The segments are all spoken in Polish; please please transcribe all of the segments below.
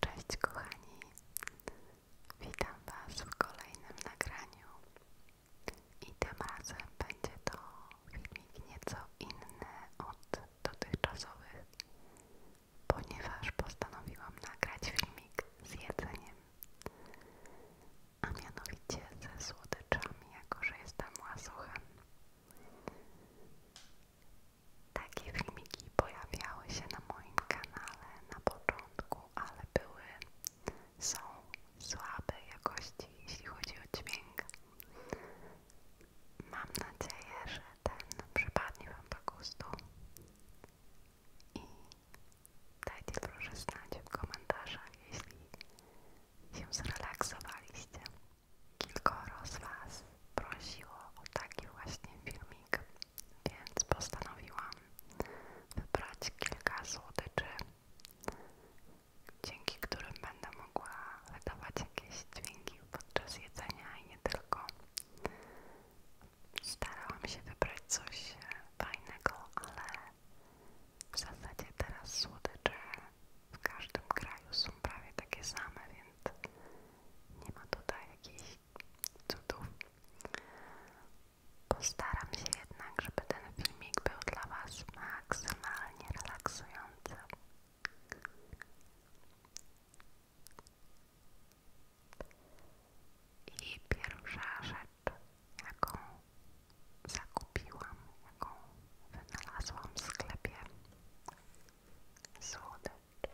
Cześć kochani, witam Was w kolejnym nagraniu i tym razem będzie to filmik nieco inny od dotychczasowych, ponieważ postanowiłam nagrać filmik z jedzeniem, a mianowicie ze słodyczami, jako że jestem łasuchem. Takie filmiki pojawiały się na moim kanale na początku, ale były, są słabe jakości, jeśli chodzi o dźwięk. Mam nadzieję, że ten przypadnie Wam do gustu i dajcie proszę znać w komentarzach, jeśli się zrelaksowaliście. Kilkoro z Was prosiło o taki właśnie filmik, więc postanowiłam wybrać kilka słodyczy, dzięki którym będę mogła wydawać jakieś dźwięki podczas jedzenia i nie tylko. Starałam się wybrać coś fajnego, ale w zasadzie teraz słodycze w każdym kraju są prawie takie same, więc nie ma tutaj jakichś cudów. Postaram się jednak, żeby ten filmik był dla Was maksymalnie relaksujący. I pierwsza rzecz, jaką zakupiłam, jaką wynalazłam w sklepie, słodycz.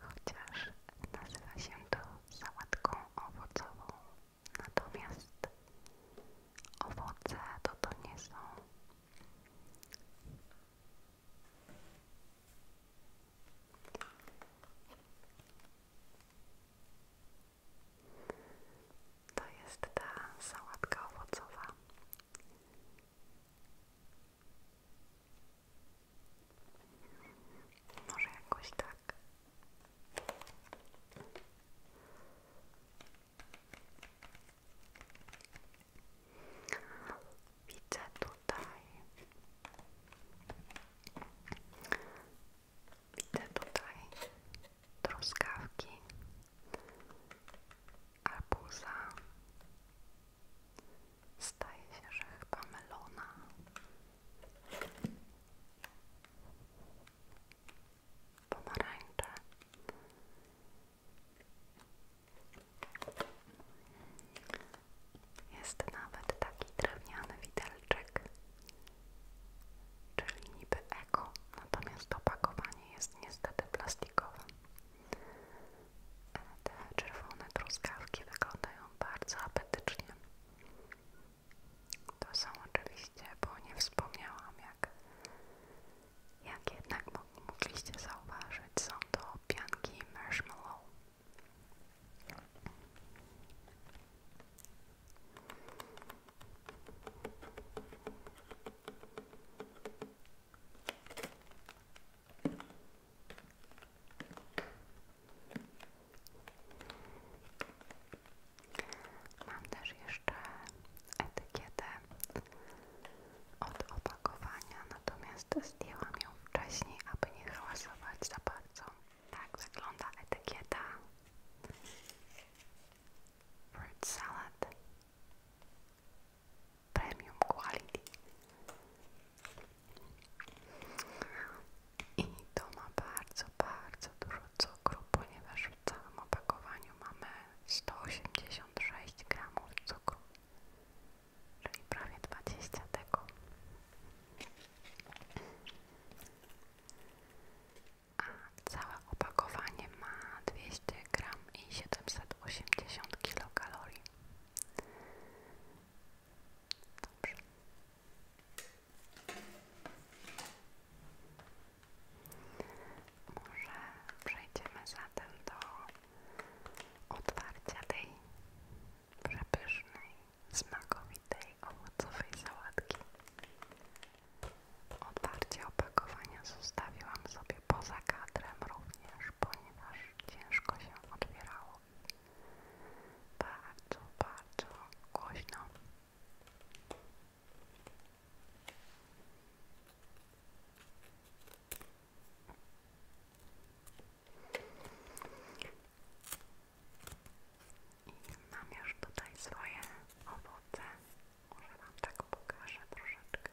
Chociaż nazywa się sałatką owocową, natomiast owoce to to nie są. To jest ta sałatka owocowa. Może jakoś tak. Widzę tutaj. Widzę tutaj truskawki arbuza staje się, że chyba melona pomarańcze jest nawet taki drewniany widelczyk czyli niby eko, natomiast opakowanie jest niestety plastikowe te czerwone truskawki wyglądają bardzo apetycznie. To są oczywiście, bo nie wspomniałam jak, jak jednak mogliście zauważyć, są to pianki marshmallow. Mam też jeszcze etykietę od opakowania, natomiast zdjęłam ją wcześniej, aby nie hałasować za bardzo. Tak wygląda etykieta. Fruit salad premium quality i to ma bardzo, bardzo dużo cukru, ponieważ w całym opakowaniu mamy 186 gramów cukru, czyli prawie 20 tego. A całe opakowanie ma 200 gram i 7 780 kilokalorii. Może przejdziemy zatem do otwarcia tej przepysznej, smakowitej, owocowej sałatki. Otwarcie opakowania zostawiłam sobie poza kadrem również, ponieważ ciężko się otwierało. Bardzo, bardzo głośno. I mam już tutaj swoje owoce. Może Wam tak pokażę troszeczkę.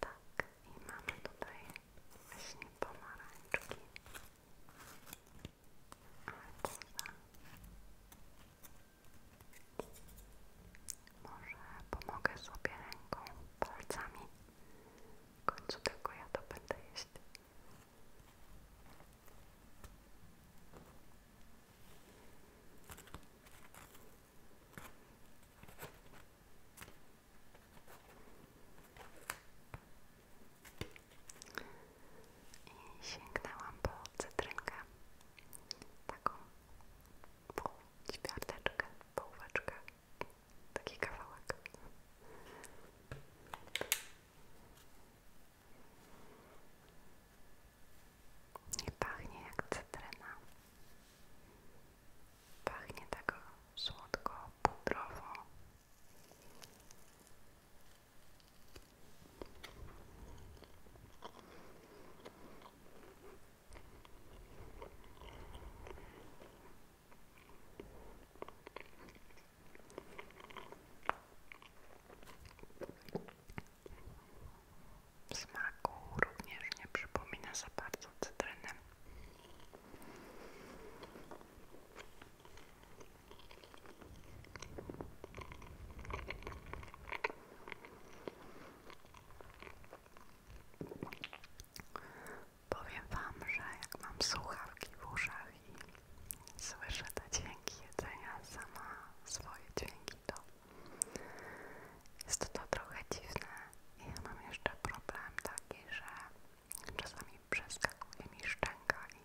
Tak, i mamy tutaj właśnie pomarańczki. Może pomogę sobie ręką, palcami. W końcu tylko ja to będę jeść. I sięgnęłam po cytrynkę, taką pół ćwiarteczkę, połóweczkę, taki kawałek. Nie pachnie jak cytryna, Pachnie tak słodko, pudrowo smaku również nie przypomina za bardzo cytryny. Powiem Wam, że jak mam słuchawki w uszach i słyszę te dźwięki jedzenia, sama swoje dźwięki, to jest to trochę dziwne. Ja mam jeszcze problem taki, że czasami przeskakuje mi szczęka i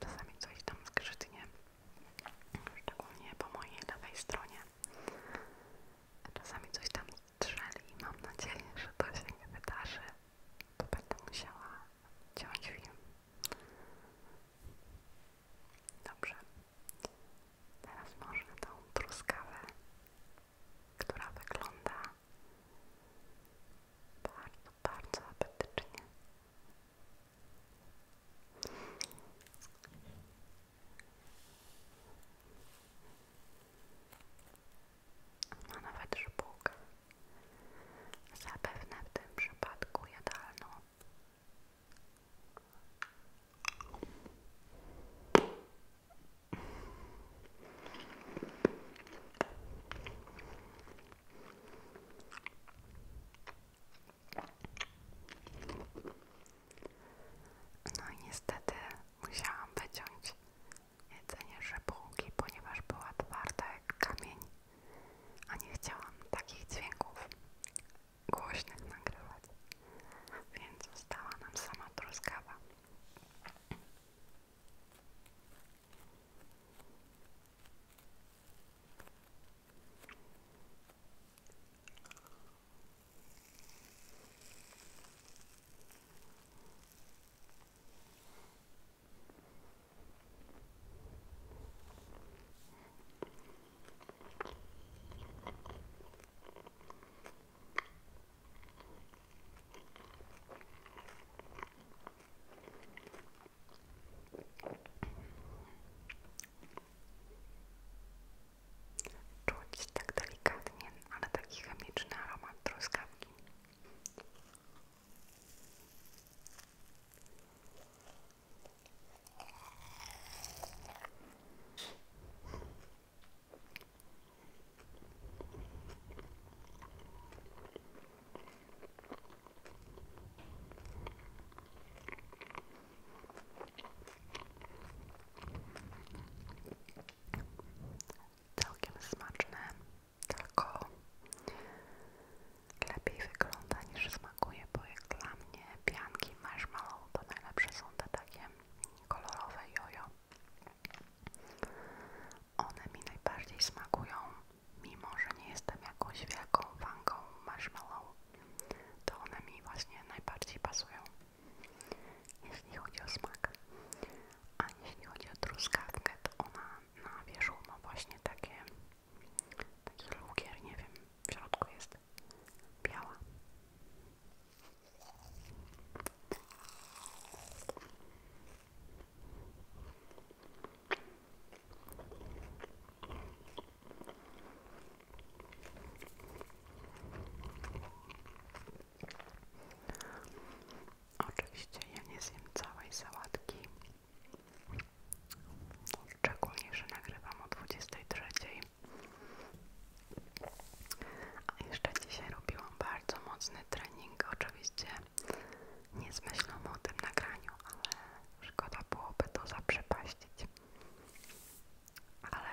czasami coś tam skrzytnie. Szczególnie po mojej lewej stronie. Czasami coś tam strzeli i mam nadzieję, że to się nie wydarzy. To będę musiała ciąć film. Dobrze. Teraz może tą truskawę, która wygląda bardzo, bardzo apetycznie. Ma no, nawet żbułkę. Zapewne w tym przypadku jadalną. No niestety musiałam wyciąć jedzenie żebrówki, ponieważ była twarda jak kamień, a nie chciałam takich dźwięków głośnych nagrywać, więc została nam sama truskawa jest tak delikatnie, ale taki chemiczny aromat truskawki. Całkiem smaczne, tylko lepiej wygląda niż smakuje, bo jak dla mnie pianki marshmallow to najlepsze są te kolorowe jojo. One mi najbardziej smakują, mimo że nie jestem jakąś wielką fanką marshmallow, to one mi właśnie najbardziej pasują, jeśli chodzi o smak. A jeśli chodzi o truskawkę, to ona na wierzchu ma właśnie takie, taki lukier, nie wiem, w środku jest biała. Oczywiście ja nie zjem całej sałatki, szczególnie, że nagrywam o trzeciej. A jeszcze dzisiaj robiłam bardzo mocny trening, oczywiście nie z myślą o tym nagraniu, ale szkoda byłoby to zaprzepaścić. Ale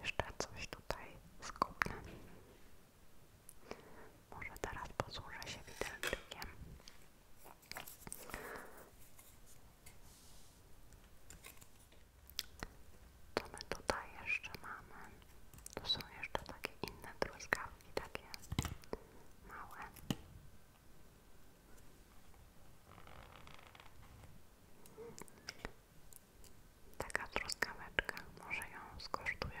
jeszcze coś tutaj skupnę. Może teraz posłużę się widelczykiem. Co my tutaj jeszcze mamy? to są jeszcze takie inne truskawki, takie małe. Taka truskaweczka, może ją skosztuję.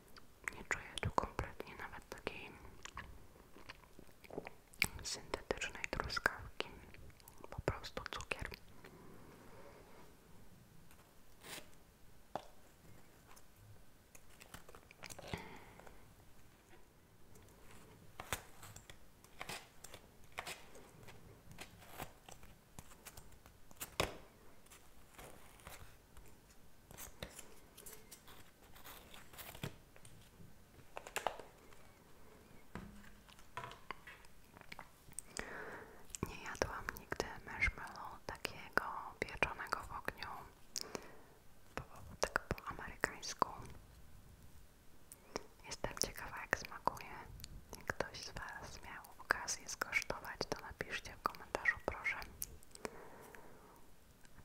nie czuję tu kompletnie nawet takiej syntetycznej truskawki, po prostu cukier. Nie jadłam nigdy marshmallow takiego pieczonego w ogniu, po, tak po amerykańsku. Jestem ciekawa jak smakuje. Jak ktoś z Was miał okazję skosztować, to napiszcie w komentarzu proszę.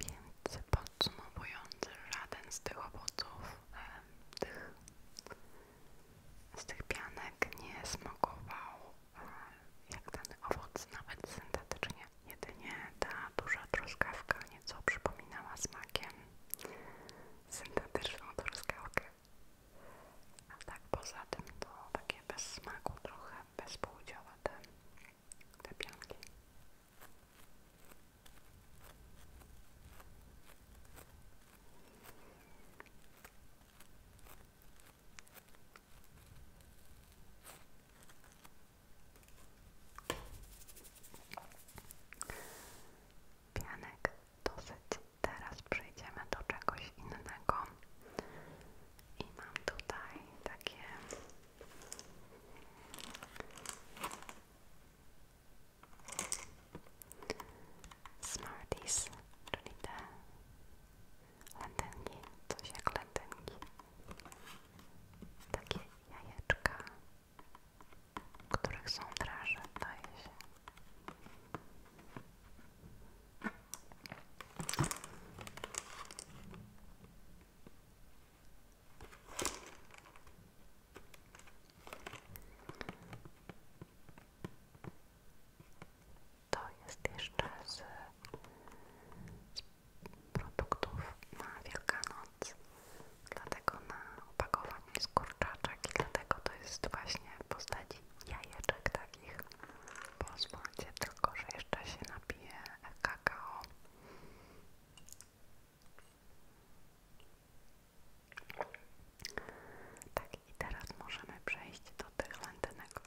Więc podsumowując, żaden z tych owoców, tych, z tych pianek nie smakował e, jak ten owoc, nawet syntetycznie. Jedynie ta duża truskawka nieco przypominała smakiem syntetyczną truskawkę. A tak poza tym to takie bez smaku, trochę bezpółdziowe te, te pianki. Pianek dosyć. Teraz przejdziemy do czegoś innego. I mam tutaj takie Smarties, czyli te lentynki, coś jak lentynki. Takie jajeczka, których są draże, daje to jest jeszcze z, produktów na Wielkanoc, dlatego na opakowaniu jest kurczaczek i dlatego to jest właśnie w postaci jajeczek takich. Pozwólcie tylko, że jeszcze się napije kakao. Tak, i teraz możemy przejść do tych lentynek.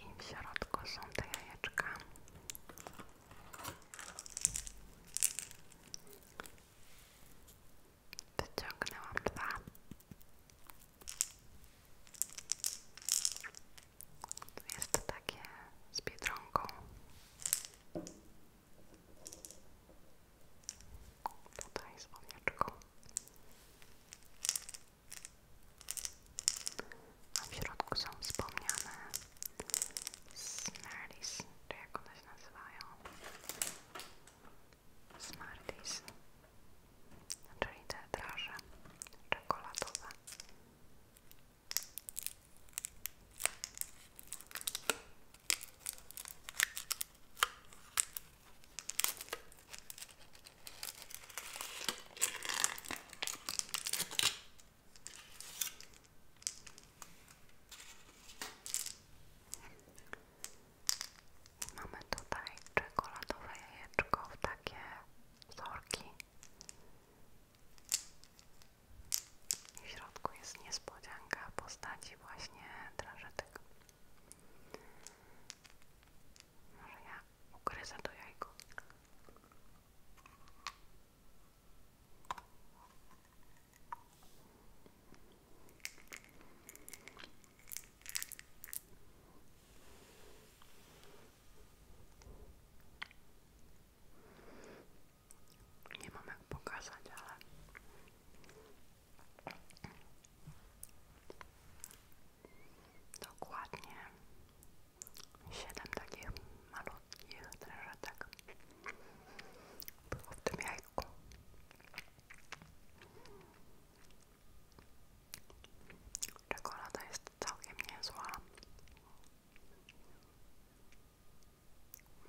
I w środku są te jajeczka. Wyciągnęłam dwa. Tu jest takie z biedronką. Tutaj z owieczką. A w środku są wspomniane Smarties, czy jak one się nazywają? Smarties, czyli te draże czekoladowe. Mamy tutaj czekoladowe jajeczko takie wzorki. W środku jest niespodzianka w postaci właśnie drażetek. Może ja ukryzę to jajko nie mam jak pokazać, ale dokładnie 7 takich malutkich drężetek było w tym jajku Czekolada jest całkiem niezła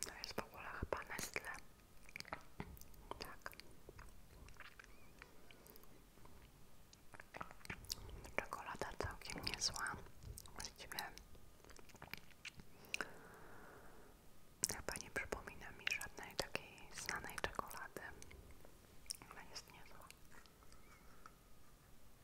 to jest w ogóle chyba Nestle. Tak. Czekolada całkiem niezła. Właściwie chyba nie przypomina mi żadnej takiej znanej czekolady. Ale jest niezła.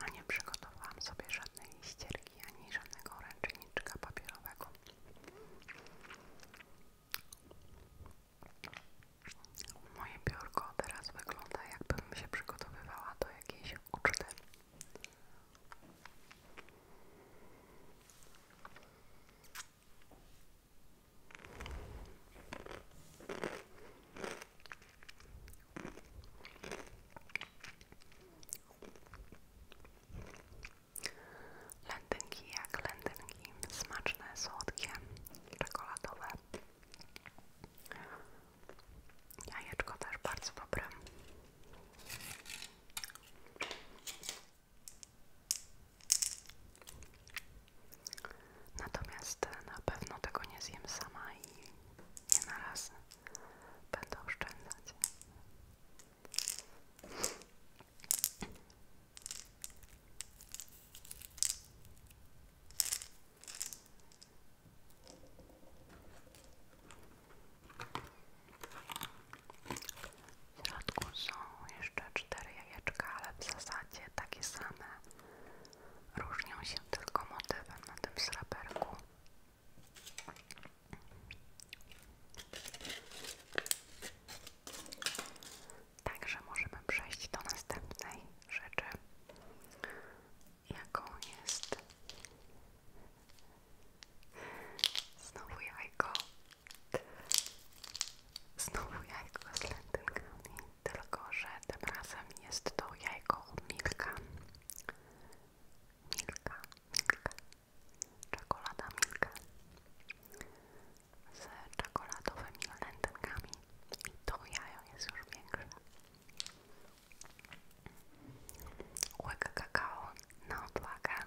A nie przygotowałam sobie żadnej ścierki ani żadnego ręczniczka papierowego. Moje biurko teraz wygląda, jakbym się przygotowywała do jakiejś uczty. Lędynki jak lędynki, smaczne, słodkie, czekoladowe. Ja Jajeczko też bardzo dobre. Natomiast na pewno tego nie zjem sama i nie na raz będę oszczędzać. W środku są jeszcze cztery jajeczka, ale w zasadzie takie same różnią się tylko motywem na tym sreberku. Także możemy przejść do następnej rzeczy, jaką jest znowu jajko, znowu jajko z lentynkami tylko że tym razem jest to jajko Milka. Milka, Milka. Czekolada Milka. Z czekoladowymi lędkami. I to jajo jest już większe. Łyk kakao na odwagę.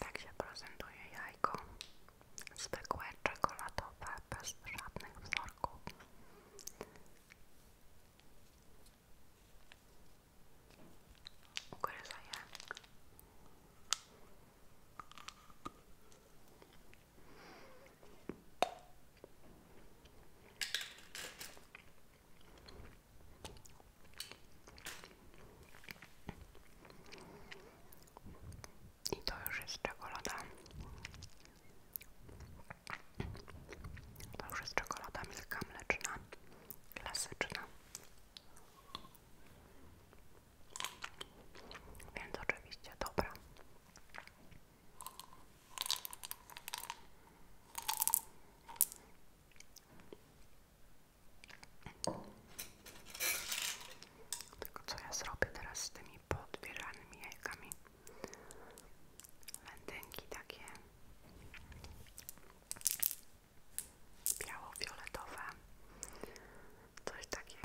Tak się prezentuje jajko. Zwykłe, czekoladowe, bez żadnych wzorków. Ugryza i to już jest czekolada. To już jest czekolada milka mleczna, klasyczna. Więc oczywiście dobra. Tylko co ja zrobię teraz z tymi podbieranymi jajkami? Wędynki takie biało-fioletowe, coś takiego.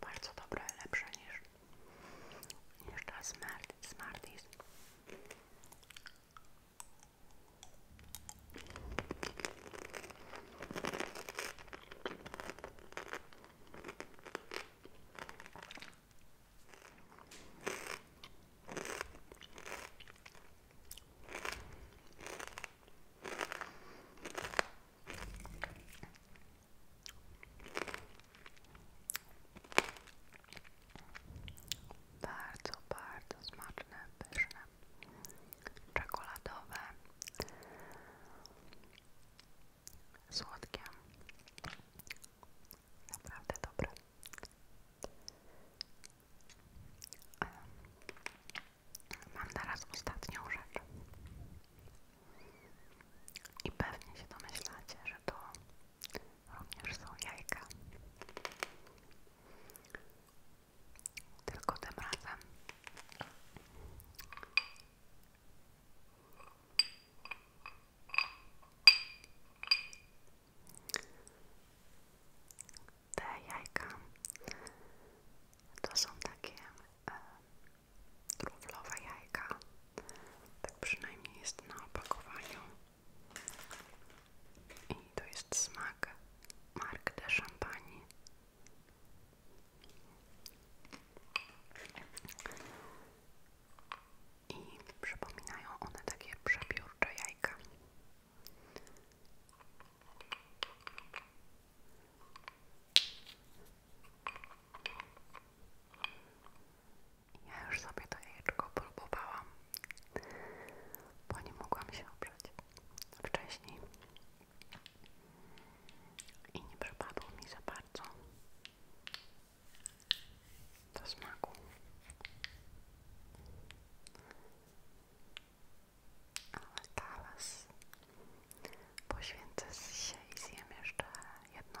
Bardzo dobre, lepsze niż, niż ta Smart, Smarties. Bardzo, bardzo smaczne, pyszne czekoladowe, słodkie, naprawdę dobre. Mam na raz ostatnią rzecz. I pewnie się domyślacie, że to również są jajka. Tylko tym Te jajka to są takie e, jajka, tak przynajmniej jest na opakowaniu. I to jest smak marka de Champagne. I przypominają one takie przebiórcze jajka. Ja już sobie to jajeczko próbowałam, bo nie mogłam się oprzeć wcześniej i nie mi za bardzo do smaku. Ale teraz poświęcę się i jeszcze jedno.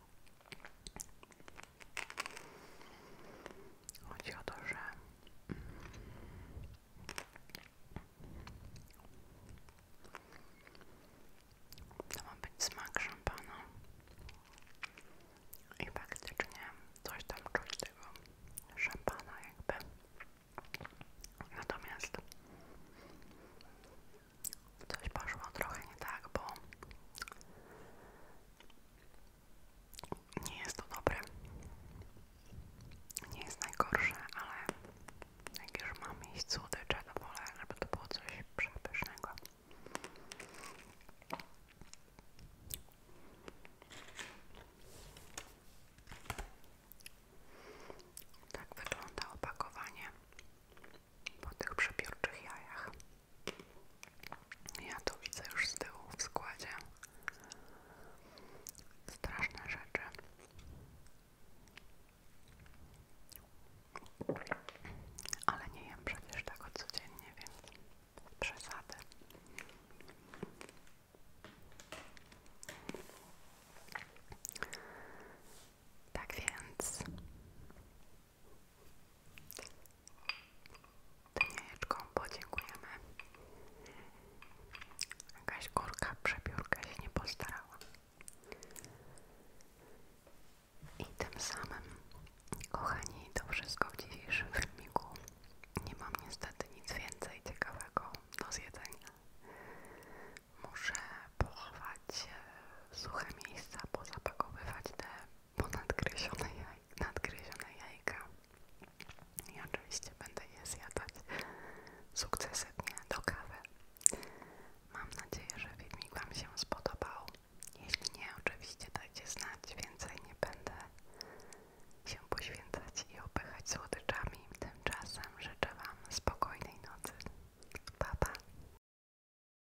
Chodzi to, że ma być smak szampana i faktycznie coś tam czuć tego szampana jakby. Natomiast coś poszło trochę nie tak, bo nie jest to dobre. Nie jest najgorsze, ale jak już mam iść słodycze, to wolę, żeby to było coś przepysznego. Tak wygląda opakowanie po tych przepiórczych jajach. Ja to widzę już z tyłu w składzie. Straszne rzeczy. Ale nie jem przecież tak codziennie, więc przesady. Tak więc Dyniaczką podziękujemy. Jakaś kurka przebiórka się nie postarała. I tym samym, kochani, to wszystko w dzisiejszym filmiku. Nie mam niestety nic więcej ciekawego do zjedzenia. Muszę pochować e, suche miejsca, pozapakowywać te po nadgryzione, jaj, nadgryzione jajka i oczywiście będę je zjadać sukcesywnie do kawy. Mam nadzieję, że filmik Wam się spodobał. Jeśli nie, oczywiście dajcie znać, więcej nie będę się poświęcać i opychać słodyczami. Tymczasem życzę Wam spokojnej nocy. Pa,